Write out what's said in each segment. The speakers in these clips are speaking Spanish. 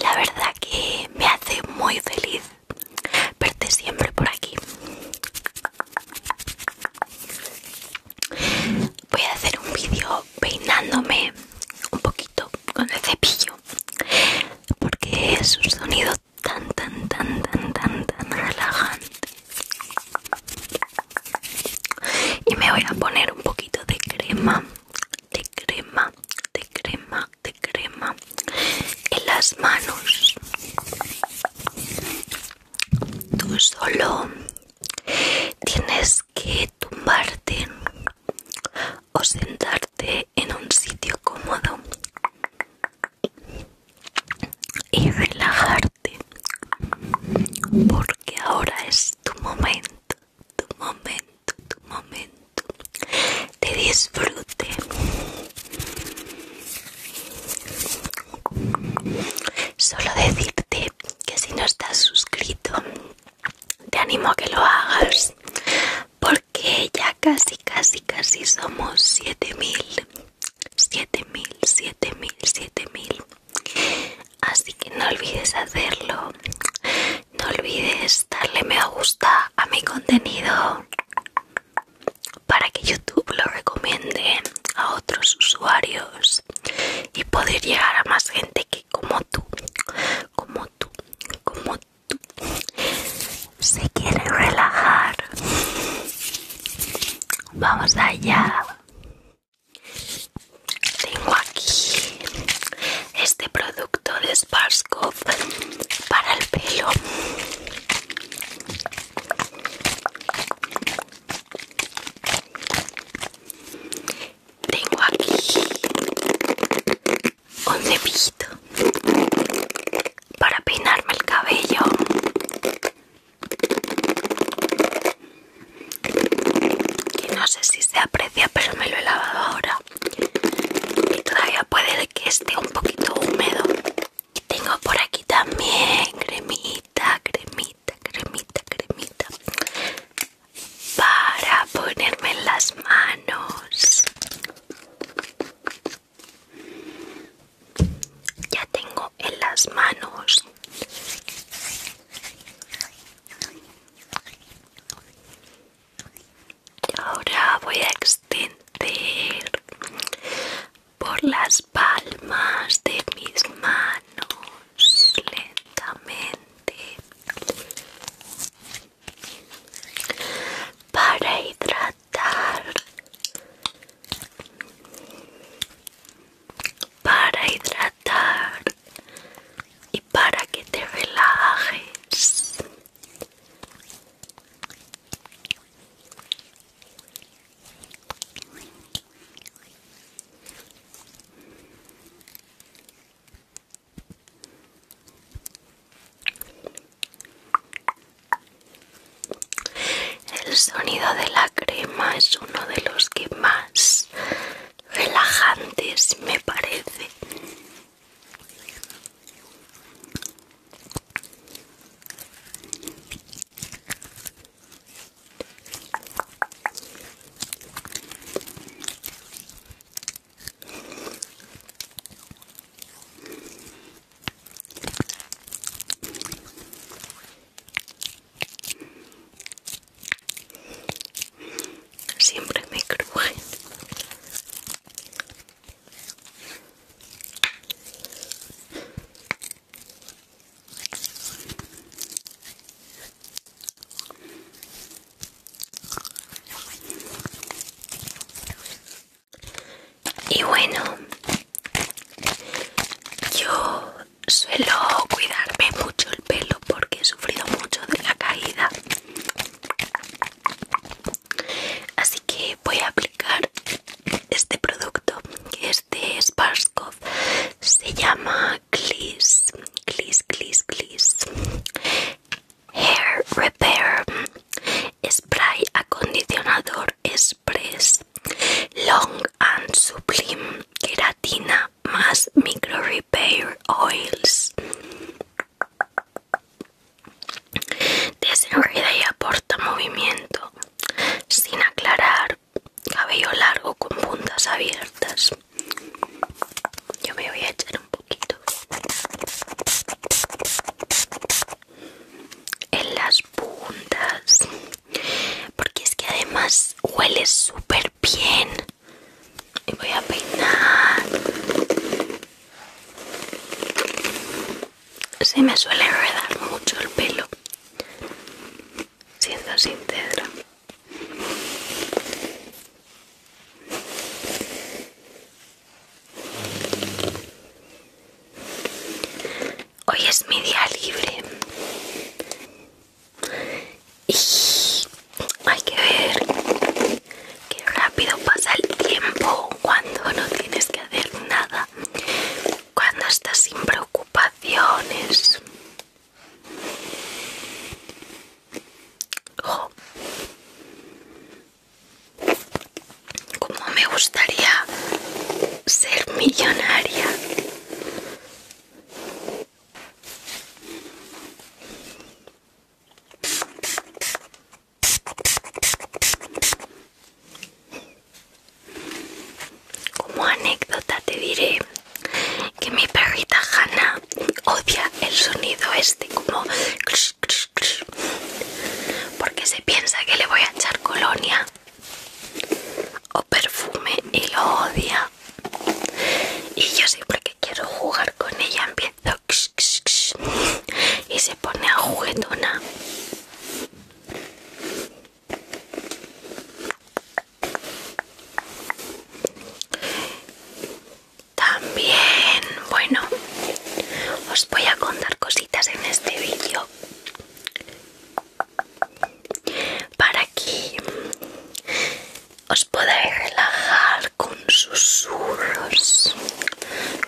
La verdad que me hace muy feliz verte siempre por aquí. Voy a hacer un vídeo peinándome un poquito con el cepillo porque es un sonido tan tan tan tan tan tan relajante y me voy a poner un poquito de crema crema, de crema, de crema en las manos. Tú solo tienes que tumbarte o sentarte en un sitio cómodo y relajarte porque ahora es tu momento tu momento, tu momento te disfrute. Solo decirte que si no estás suscrito, te animo a que lo hagas porque ya casi, casi, casi somos 7000. 7000, 7000, 7000. Así que no olvides hacerlo. No olvides darle me gusta a mi contenido para que YouTube lo recomiende a otros usuarios y poder llegar a más gente que como tú, como tú, como tú se quiere relajar. Vamos allá. Tengo aquí este producto de Sparskop para el pelo. Tengo aquí un cepillito para peinarme el cabello. Que no sé si se aprecia, pero me lo he lavado ahora y todavía puede que esté un poquito húmedo y tengo por aquí también cremita cremita cremita cremita para ponerme en las manos ya tengo en las manos ahora voy a extender por las palmas de mis manos lentamente para hidratar para hidratar y para que te relajes. El sonido de la crema es uno de los que más relajantes me parece Siempre me crujen. Y bueno, yo suelo cuidarme mucho el pelo porque he sufrido mucho de la caída Así que voy a aplicar este producto que es de Se llama Gliss, Gliss, Gliss, Gliss Hair Repair Spray Acondicionador Express Long and Sublime Keratina más Micro repair oils. Desenreda y aporta movimiento sin aclarar. Cabello largo con puntas abiertas. Yo me voy a echar un poquito en las puntas porque es que además huele súper bien y voy a peinar. Se me suele enredar mucho el pelo, siendo sin sincera. Hoy es mi día libre y hay que ver qué rápido pasa el tiempo cuando no tienes que hacer nada, cuando estás sin preocupaciones. Como me gustaría ser millonaria. Como anécdota te diré que mi perrita Hanna odia el sonido este como porque se piensa que le voy a echar colonia o perfume y lo odia y yo siempre que quiero jugar con ella empiezo y se pone a juguetona también bueno os voy a contar cositas en este vídeo para que os podéis relajar con susurros,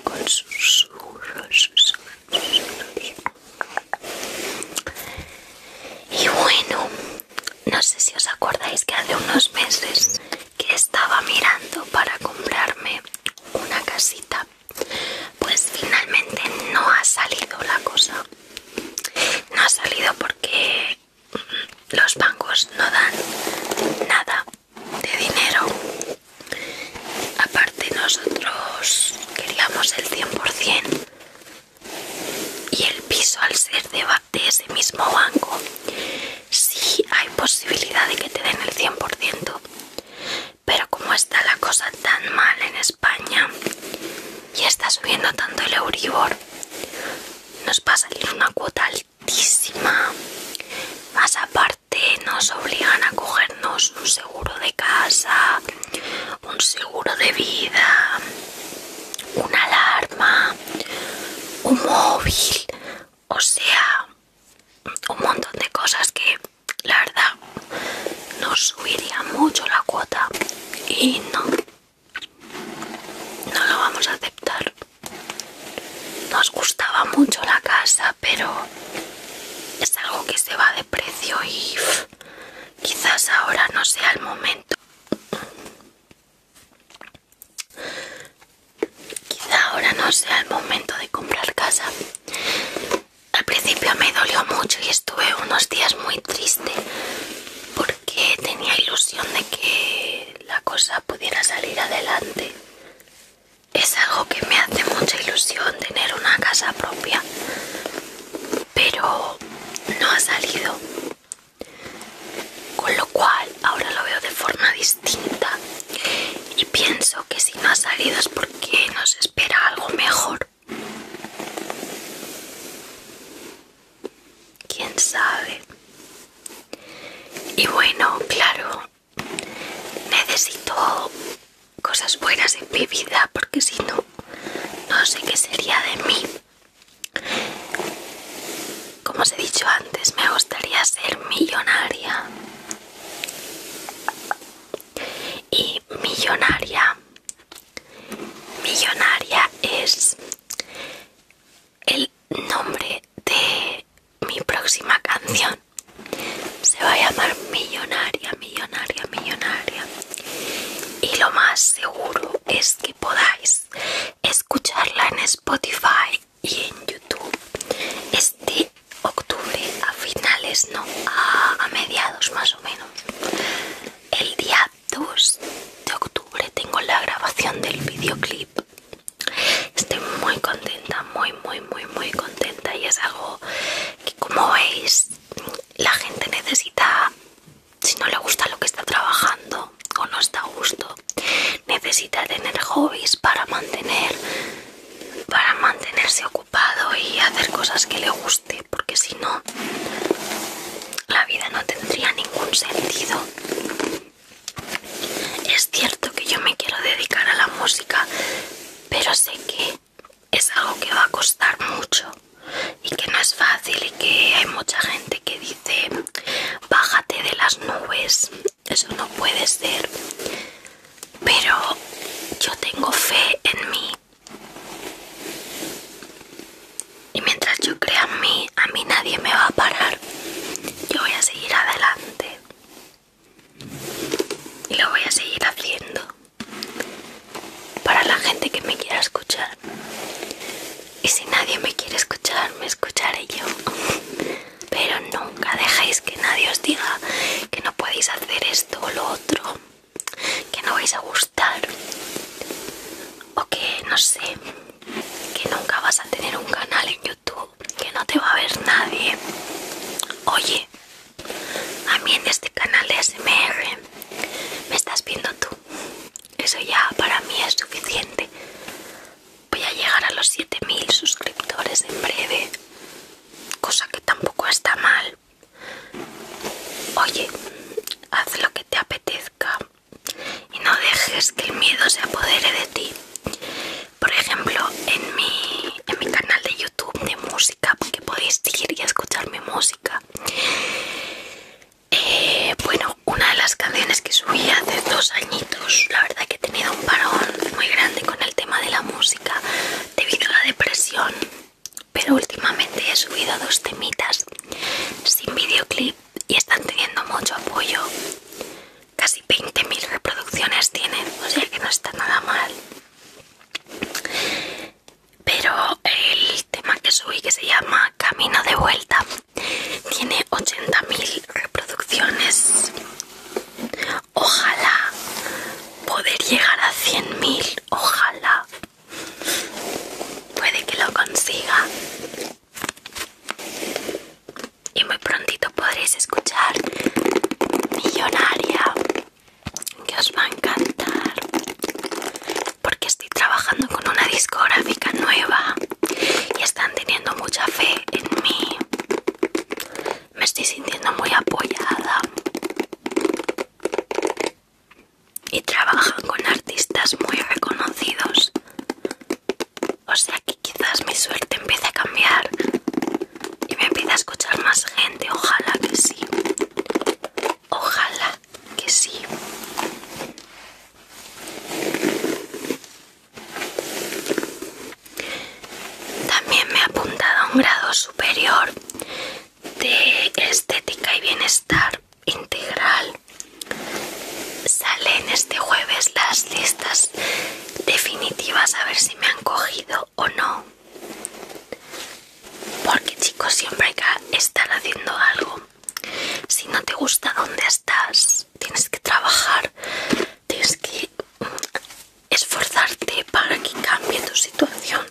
con susurros. Y bueno, no sé si os acordáis que hace unos meses que estaba mirando para comprarme una casita, pues finalmente no ha salido la cosa. No ha salido porque los bancos no dan nada de dinero. Aparte nosotros queríamos el 100% y el piso al ser de, ese mismo banco si hay posibilidad de que te den el 100%. Pero como está la cosa tan mal en España y está subiendo tanto el Euribor, nos va a salir una cuota alta más aparte nos obligan a cogernos un seguro de casa, un seguro de vida, una alarma, un móvil, o sea, un montón de cosas que la verdad nos subiría mucho la cuota y no no lo vamos a aceptar. Nos gustaba mucho la casa, pero es algo que se va de precio y quizás ahora no sea el momento. quizás ahora no sea el momento de comprar casa. Al principio me dolió mucho y estuve unos días muy triste porque tenía ilusión de que la cosa pudiera salir adelante. Es algo que me hace mucha ilusión tener una casa propia, pero no ha salido. Con lo cual ahora lo veo de forma distinta y pienso que si no ha salido es porque nos espera algo mejor quién sabe. Y bueno, claro, necesito cosas buenas en mi vida porque si no, no sé qué sería de mí. Como os he dicho antes, me gustaría ser millonaria. Y millonaria. Millonaria es el nombre de mi próxima canción se va a llamar millonaria millonaria millonaria y lo más seguro es que podáis escucharla en Spotify y en YouTube este octubre a finales no a, mediados más o menos el día 2 de octubre tengo la grabación del videoclip Estoy muy contenta, muy, muy, muy, muy contenta y es algo que como veis la gente necesita, si no le gusta lo que está trabajando o no está a gusto, necesita tener hobbies para mantener, para mantenerse ocupado y hacer cosas que le guste, porque si no la vida no tendría ningún sentido es cierto que yo me quiero dedicar a la música, pero sé que es algo que va a costar mucho y que no es fácil y que hay mucha gente que dice bájate de las nubes, eso no puede ser. Pero yo tengo fe en mí y mientras yo crea en mí, a mí nadie me va a parar. Yo voy a seguir adelante. Y lo voy a seguir haciendo. Para la gente que me quiera escuchar. Y si nadie me quiere escuchar, me escucharé yo. Pero nunca dejéis que nadie os diga que no podéis hacer esto o lo otro. Que no vais a gustar. O que, no sé, que nunca vas a tener un canal en YouTube, que no te va a ver nadie. Oye, a mí en este canal de SMR me estás viendo tú. Eso ya para mí es suficiente. Voy a llegar a los 7000 suscriptores en breve, cosa que tampoco está mal. Oye, haz lo que te apetezca y no dejes que el miedo se apodere de ti. Por ejemplo, en mi, en mi canal de YouTube de música, Porque podéis ir y escuchar mi música. Eh, bueno, una de las canciones que subí hace dos añitos, la verdad que he tenido un parón muy grande con el tema de la música debido a la depresión, pero últimamente he subido dos temitas sin videoclip y, están teniendo mucho apoyo. Casi 20.000 reproducciones tienen, o sea que no está nada mal. Pero el tema que subí, que se llama Camino de Vuelta, tiene 80.000 reproducciones. Ojalá poder llegar a 100.000, ojalá. Puede que lo consiga. Y muy prontito podréis escuchar Millonaria, que os va a encantar, porque estoy trabajando con una discográfica nueva y están teniendo mucha fe en mí. Me estoy sintiendo muy apoyada. Y trabajan con artistas muy reconocidos o sea que quizás mi suerte empiece a cambiar y me empiece a escuchar más gente. Ojalá que sí. Ojalá que sí. También me he apuntado a un grado superior de estética y bienestar integral. Salen este jueves las listas definitivas a ver si me han cogido o no. Porque chicos, siempre hay que estar haciendo algo. Si no te gusta dónde estás, tienes que trabajar, tienes que mm, esforzarte para que cambie tu situación.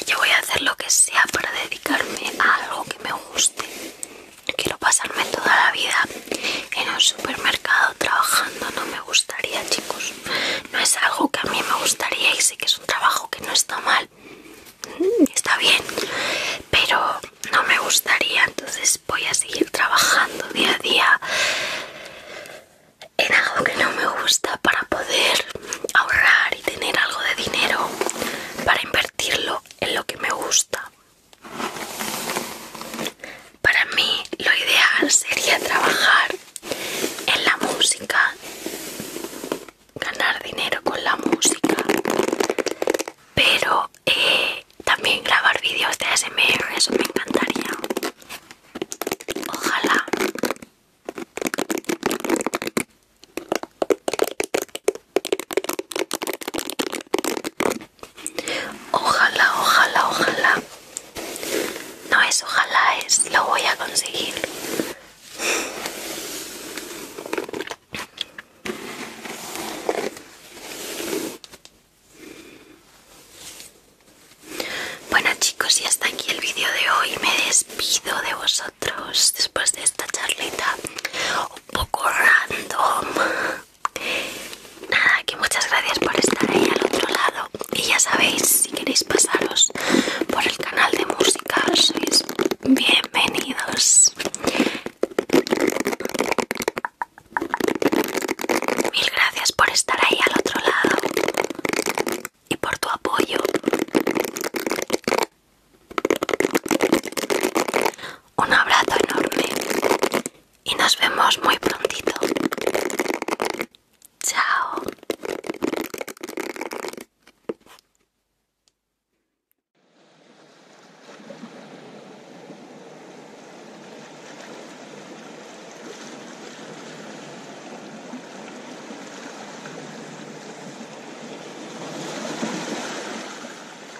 Y yo voy a hacer lo que sea para dedicarme a algo que me guste quiero pasarme toda la vida en un supermercado trabajando, no me gustaría, chicos. No es algo que a mí me gustaría y sé que es un trabajo que no está mal, mm, está bien, pero no me gustaría, entonces voy a seguir trabajando día a día en algo que no me gusta para poder ahorrar y tener algo de dinero para invertirlo en lo que me gusta para mí lo ideal sería trabajar en la música, ganar dinero con la música, pero eh, también grabar vídeos de ASMR, eso me encantaría. Ojalá. Ojalá, ojalá, ojalá. No es ojalá, es lo voy a conseguir. Bueno chicos, y hasta aquí el vídeo de hoy. Me despido de vosotros después de esta charlita un poco random. Nada, que muchas gracias por estar ahí al otro lado. Y ya sabéis, si queréis pasaros por el canal de música, sois bienvenidos. Mil gracias por estar ahí al otro lado y por tu apoyo un abrazo enorme y nos vemos muy prontito. Chao.